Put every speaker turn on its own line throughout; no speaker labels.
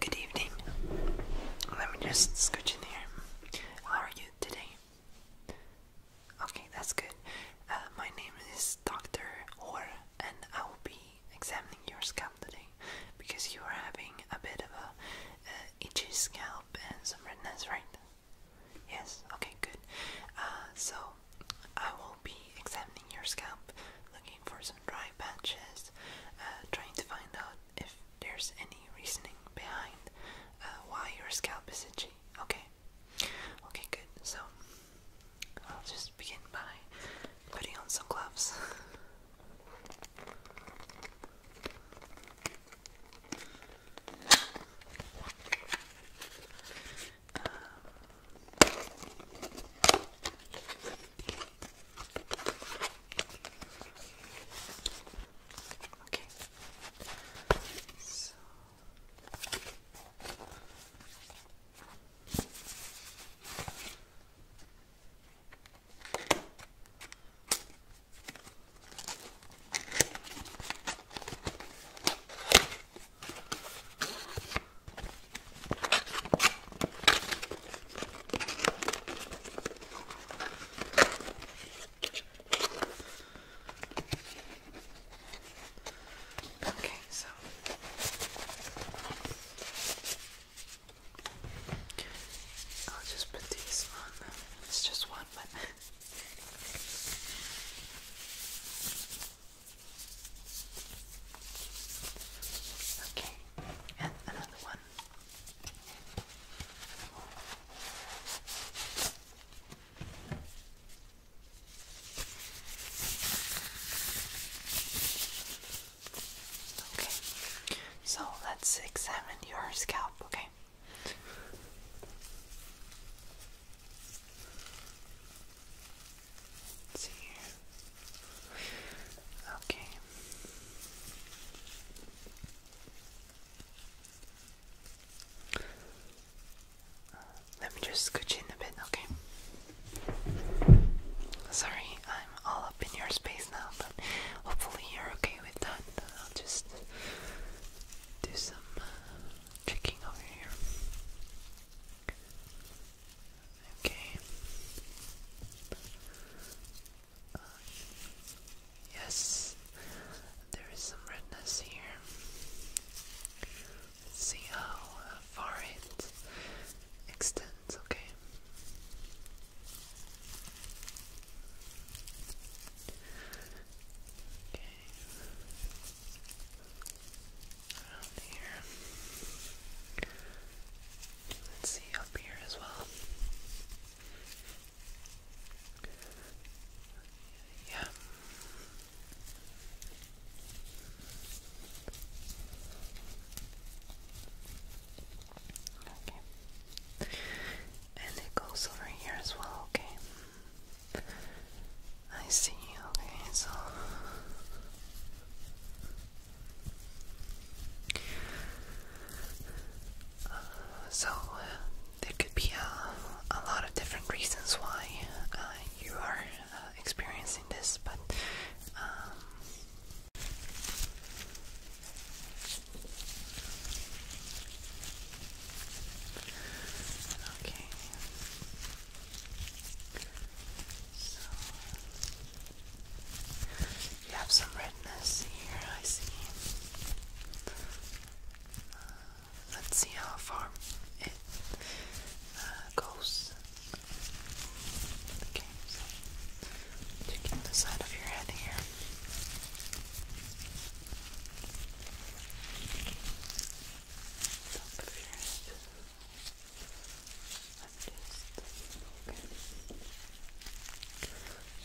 Good evening. Let me just scooch in here. How are you today? Okay, that's good. Uh, my name is Dr. Orr, and I will be examining your scalp today because you are having a bit of a uh, itchy scalp and some redness, right? Yes. Okay. Good. Uh, so I will be examining your scalp, looking for some dry patches, uh, trying to find out if there's any reasoning behind uh, why your scalp is itchy. Okay. Okay, good. So I'll just begin by putting on some gloves. Um, okay. So Okay, so I'll just put these on. It's just one, but. Okay, and another one. Okay, so let's examine your scalp, okay? let see Okay. Let me just scooch in a bit, okay? Sorry, I'm all up in your space now, but hopefully you're okay with that. I'll just do some uh, checking over here. Okay. Uh, yes, there is some redness here. Let's see how uh, far it extends, okay? Okay. Let's see up here as well. Yeah. Okay. And it goes over here as well, okay? I see, okay, so uh, so uh, there could be a, a lot of different reasons why uh, you are experiencing this, but um, Okay you have some redness here, I see. Uh, let's see how far it uh, goes. taking the side of your head here. Top of your head just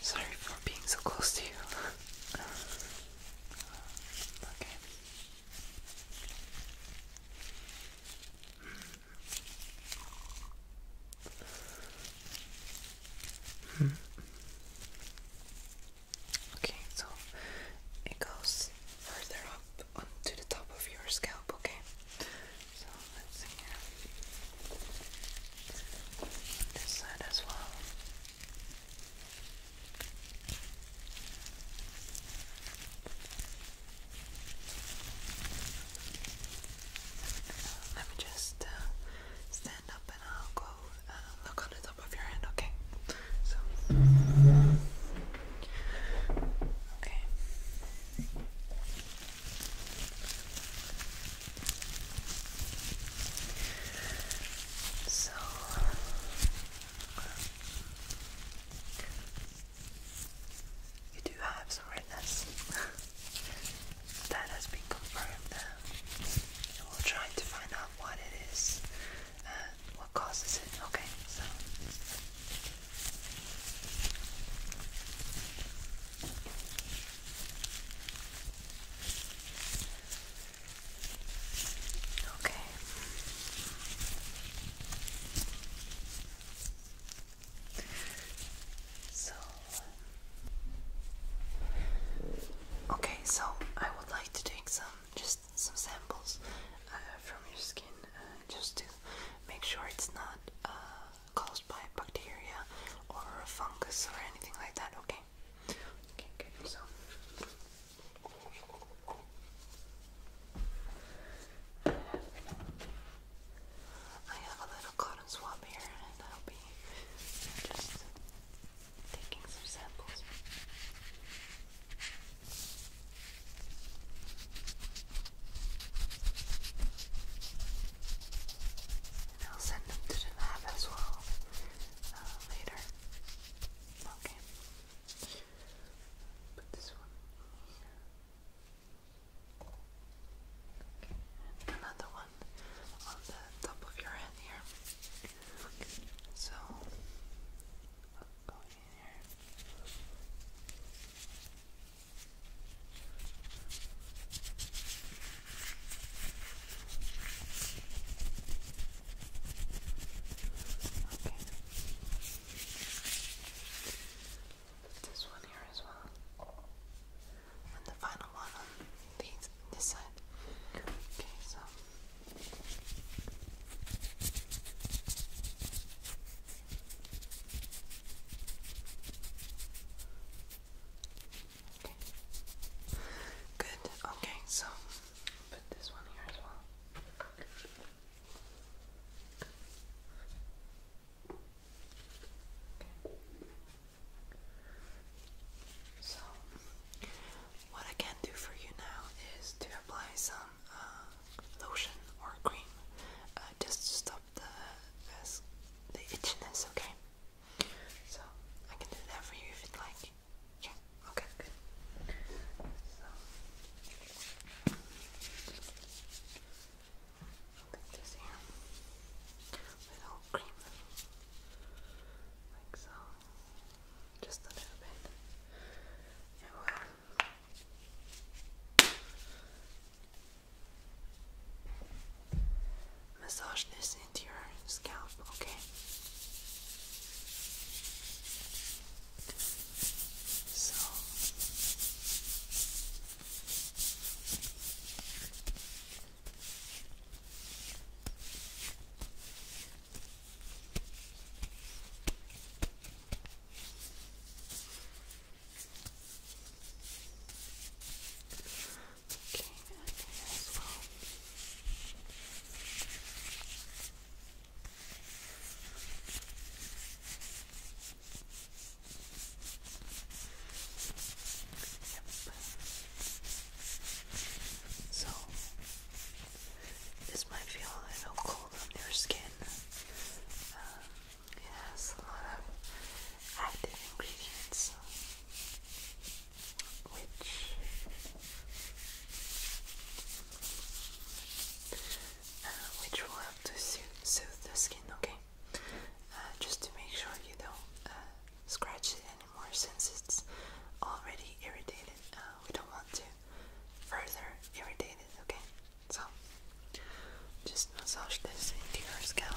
sorry for being so close to you. okay. Hmm. Okay, so it goes further up up onto the top of your scalp, okay? So let's see this side as well. Let me just uh, stand up and I'll go uh, look on the top of your head, okay? So okay. So you do have some redness. that has been confirmed. we'll try to find out what it is. Uh, what causes it. Okay, so okay. So okay, so I would like to take some just some samples uh, from your skin uh, just to make sure it's not uh, caused by bacteria or fungus or anything like that. Okay. Okay. Good. So. I have a little cotton swab here, and I'll be just taking some samples. Okay. And I'll send them to the lab as well uh, later. Okay. Put this one Okay. another one on the top of your head here. So, Okay. This one here as well. And the final one on this side. Okay, so Good. Okay, so put this one here as well. Okay. So, what I can do for you now is to apply some um, um, lotion or cream uh, just to stop the, the itchiness, okay? So, I can do that for you if you'd like. Yeah, okay, good. So, i here. Little cream. Like so. Just a little bit. And will Massage this into your scalp, okay? So Okay, and here as well. Yep. So this might feel a little cold on your skin. it um, has a lot of active ingredients, which uh, which will help to soothe, the skin. Okay, uh, just to make sure you don't uh, scratch it anymore since it's already irritated. we don't want to further irritated, okay? So, just massage this into your scalp.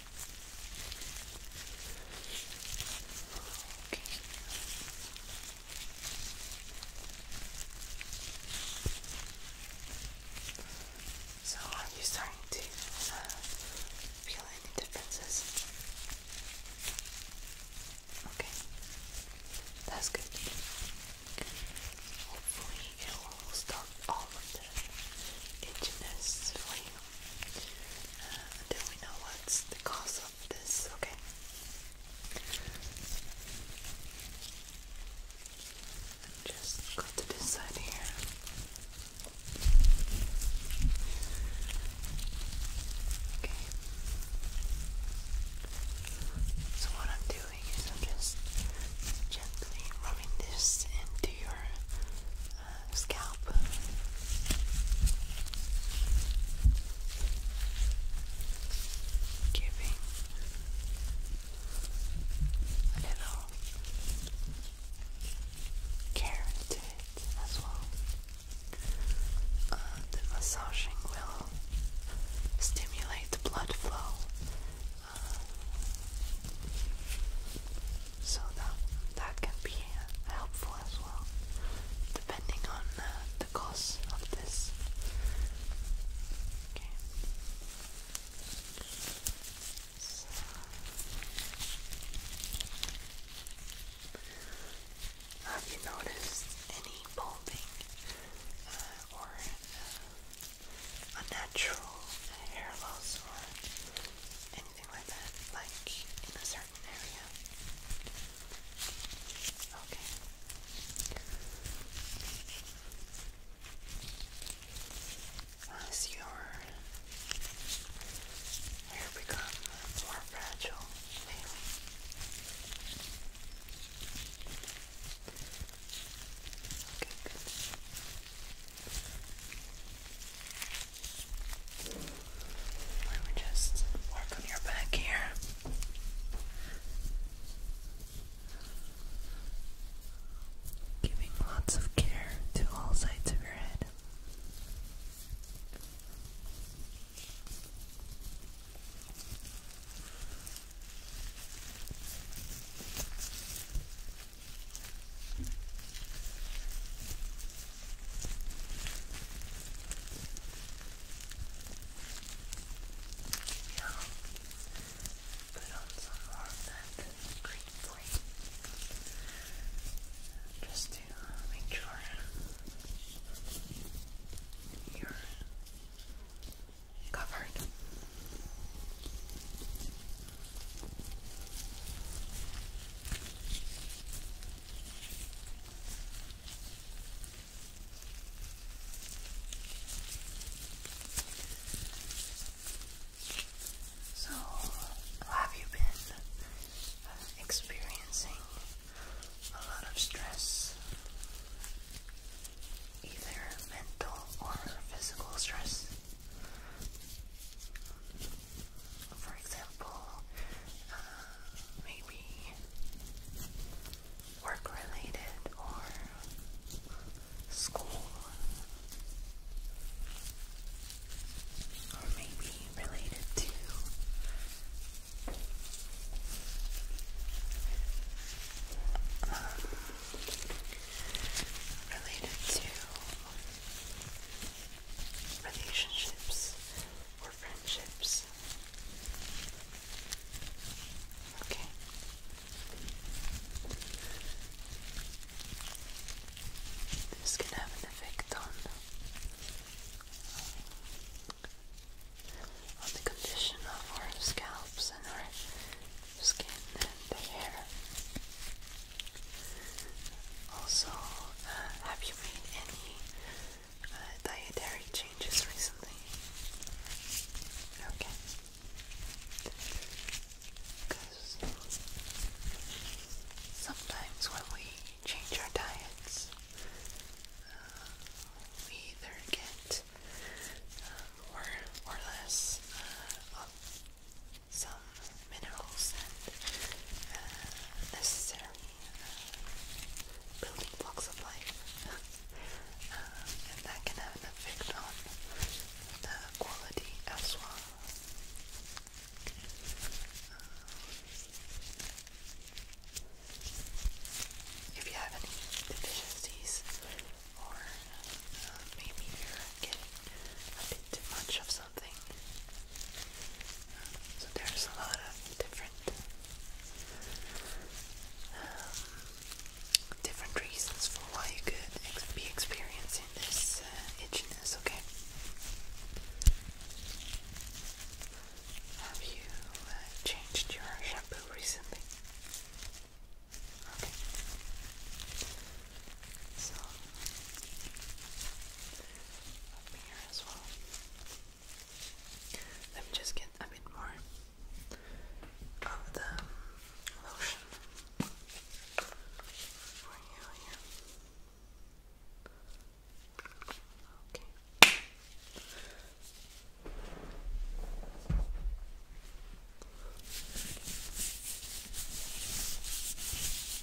So, are you starting to uh, feel any differences? Okay, that's good. Hopefully, it will stop all of the itchiness for you uh, until we know what's the cause of this, okay? just go to this side here. Okay. So what I'm doing is I'm just gently rubbing this into your scalp. Giving a little care to it as well. the massaging will stimulate blood flow so that that can be uh, helpful as well depending on uh, the cost of this okay Have you noticed any balding uh, or unnatural hair loss or anything like that, like in a certain area. Okay. As your hair becomes more fragile, maybe. Okay, good. Let me just work on your back here. Giving lots of care to all sides of your head. Now, put on some more of that green just to make sure you're covered. So, have you been uh, experiencing a lot of stress? Either mental or physical stress? For example, uh, maybe work related or school, or maybe related to. Um, related to relationships or friendships. Okay. This can have an effect on um, on the condition of our scalps and our skin and the hair. Also, uh, have you made any uh, dietary changes recently? Okay. Because sometimes when we change our diets, uh, we either get more or less some minerals and uh, necessary uh, building blocks of life, um, and that can have an effect on the quality as well. Um, if you have any deficiencies, or uh, maybe you're getting a bit too much of so there's a lot of different um, different reasons for why you could be experiencing this uh, itchiness. Okay. Have you uh, changed your shampoo recently? So up here as well. Let me just get a bit more of the lotion for you here. Okay. So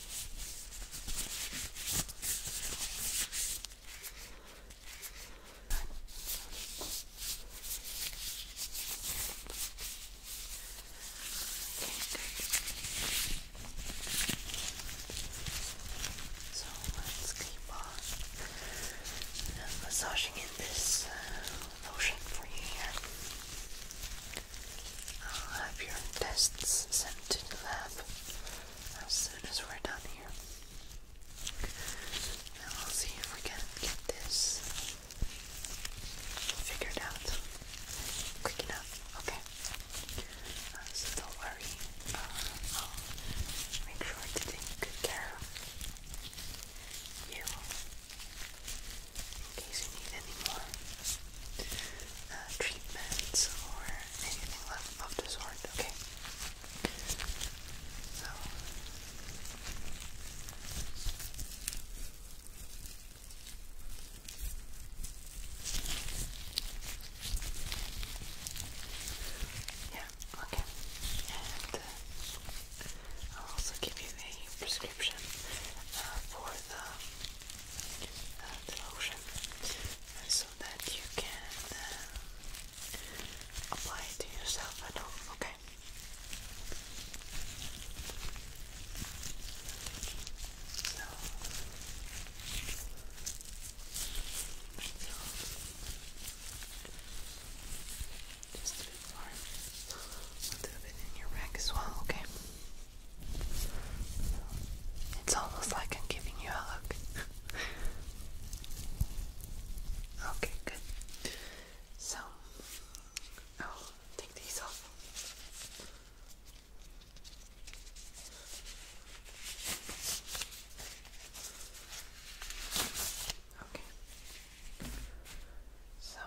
let's keep on uh, massaging in this uh, lotion for you here. I'll have your tests sent to the lab as soon as we're done here. I'll see if we can get this figured out quick enough. Okay. so don't worry. Uh, I'll make sure to take good care of you in case you need any more uh, treatments or anything left of the sort, okay? So. Yeah, okay. Uh, I'll also give you a prescription uh, for the the lotion so that you can um, apply it to yourself at home, okay? just do it for a little bit in your back as well, Okay. It's almost like I'm giving you a look. okay, good. So, I'll take these off. Okay. So,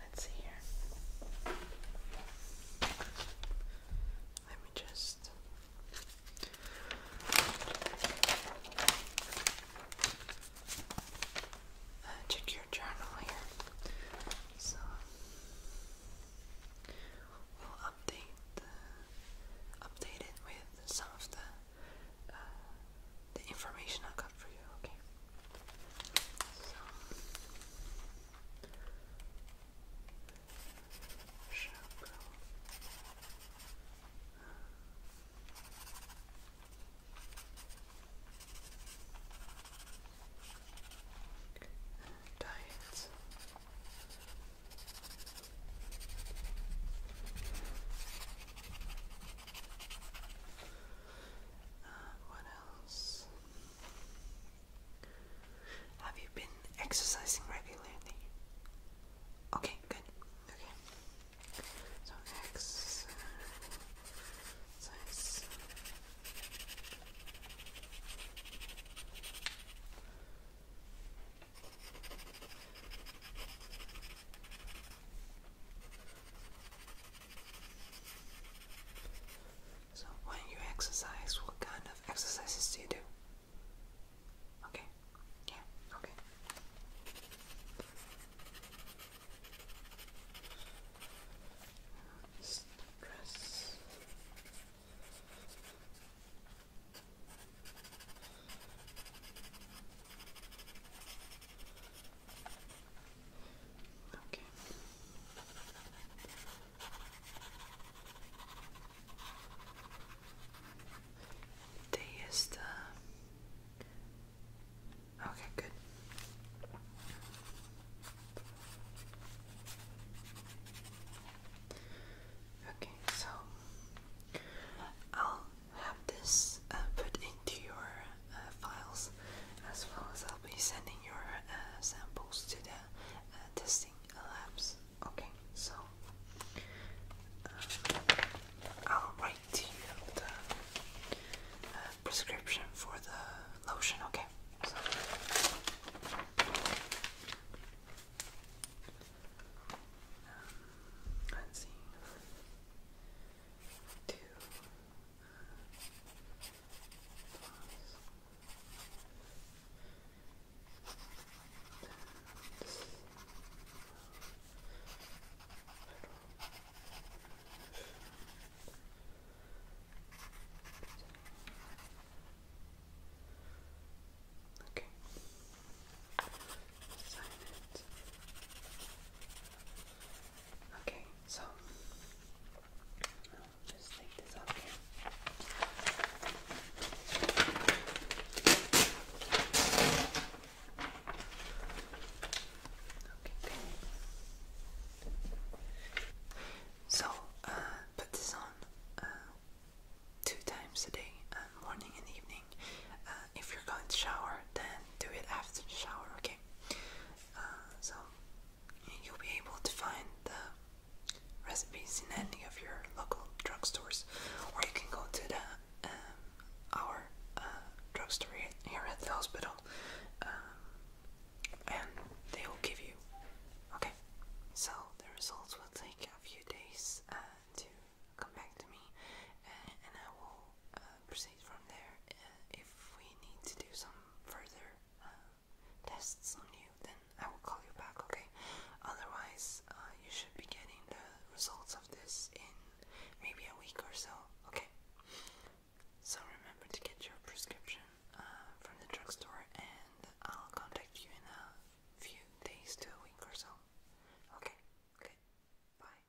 Let's see here. Let me just. Uh, check your journal here. So we'll update update it with some of the uh, the information I got for you. Okay. Шапка. Diet. Uh, what else? Have you been exercising regularly? Okay, good. Okay. So exercise. So when you exercise, what kind of exercises do you do? Okay. Yeah, okay. Stress. Okay. They used Okay, good. Okay, so I'll have this uh, put into your uh, files as well as I'll be sending your uh, samples to the uh, testing labs. Okay, so uh, I'll write the uh, prescription for the lotion. Okay. So. Um, Okay. Sign Okay, so so, uh, put this on uh, two times a day, uh, morning and evening. if you're going to shower, then do it after the shower, okay? so, you'll be able to find the recipes in any of your local drugstores, or you can go to the um, our uh, drugstore here at the hospital, um, and they will give you. Okay, so the results will take a few days uh, to come back to me, and, and I will uh, proceed from there uh, if we need to do some further. Uh, tests on you, then I will call you back, okay? Otherwise, uh, you should be getting the results of this in maybe a week or so, okay? So remember to get your prescription uh, from the drugstore, and I'll contact you in a few days to a week or so, okay? Okay, bye.